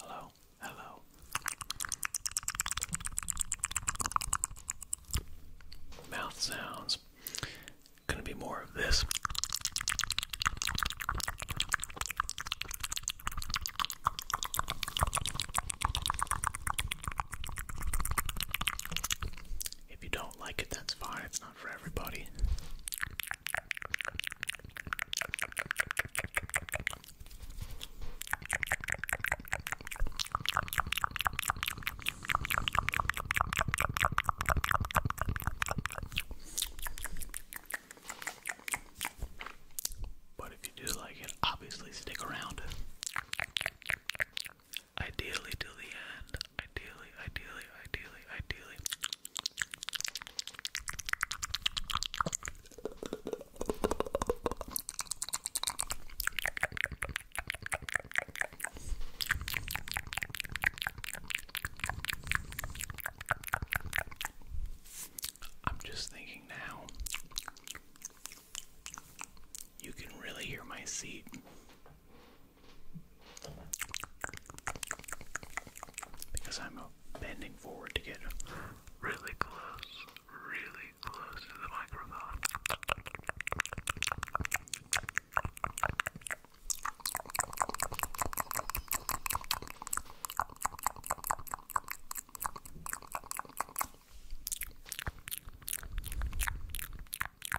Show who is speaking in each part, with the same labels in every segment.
Speaker 1: Hello, hello. Mouth sounds. Gonna be more of this. If you don't like it, that's fine for everybody.
Speaker 2: But if you do like it, obviously stick around. Ideally to the end. Ideally, ideally, ideally, ideally.
Speaker 3: I'm just thinking now. You can really hear my seat.
Speaker 2: Because I'm bending forward to get really close, really close to the microphone.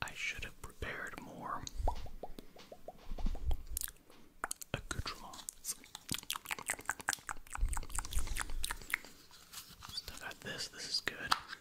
Speaker 4: I should have prepared more accoutrements. Still got this, this is good.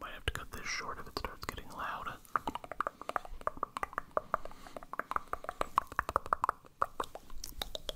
Speaker 4: Might have to cut this short if it starts getting loud.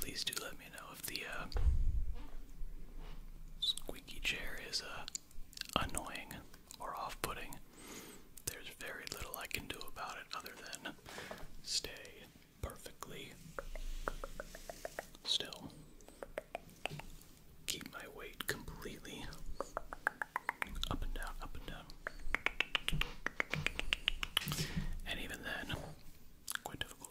Speaker 4: Please do let me know if the uh, squeaky chair is uh, annoying or off putting, there's very little I can do about it other than stay perfectly still. Keep my weight completely up and down, up and down. And even then, quite difficult.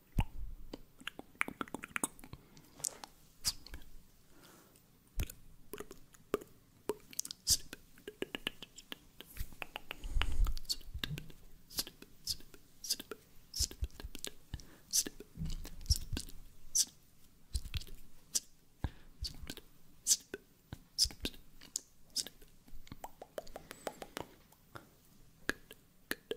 Speaker 5: Snip. Snip. Snip. Snip. Snip. Snip. Snip. Snip. Snip. Snip. Snip. Snip. Good, good,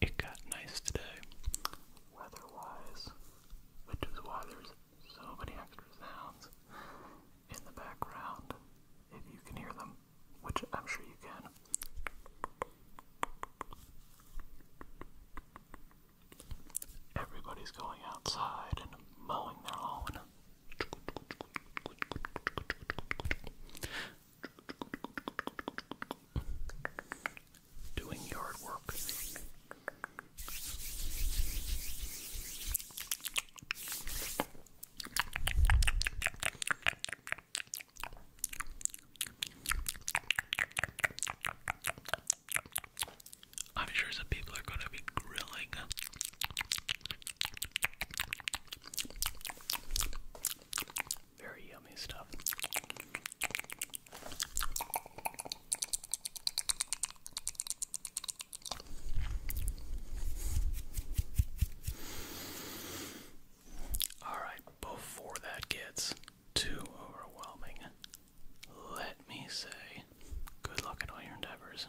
Speaker 5: It got nice today, weather-wise, which is why there's so many extra sounds in the background, if you can hear them, which I'm sure you can. Everybody's going outside and mowing their lawn doing yard work. I'm sure some people are going to be grilling. Very yummy stuff. Alright, before that gets too overwhelming, let me say good luck in all your endeavors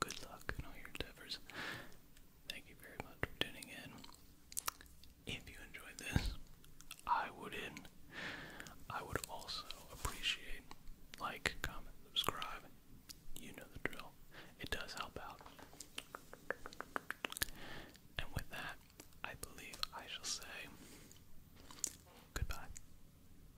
Speaker 5: good luck in all your endeavors. Thank you very much for tuning in. If you enjoyed this, I would in. I would also appreciate like, comment, subscribe. You know the drill. It does help out.
Speaker 3: And with that, I believe I shall say goodbye.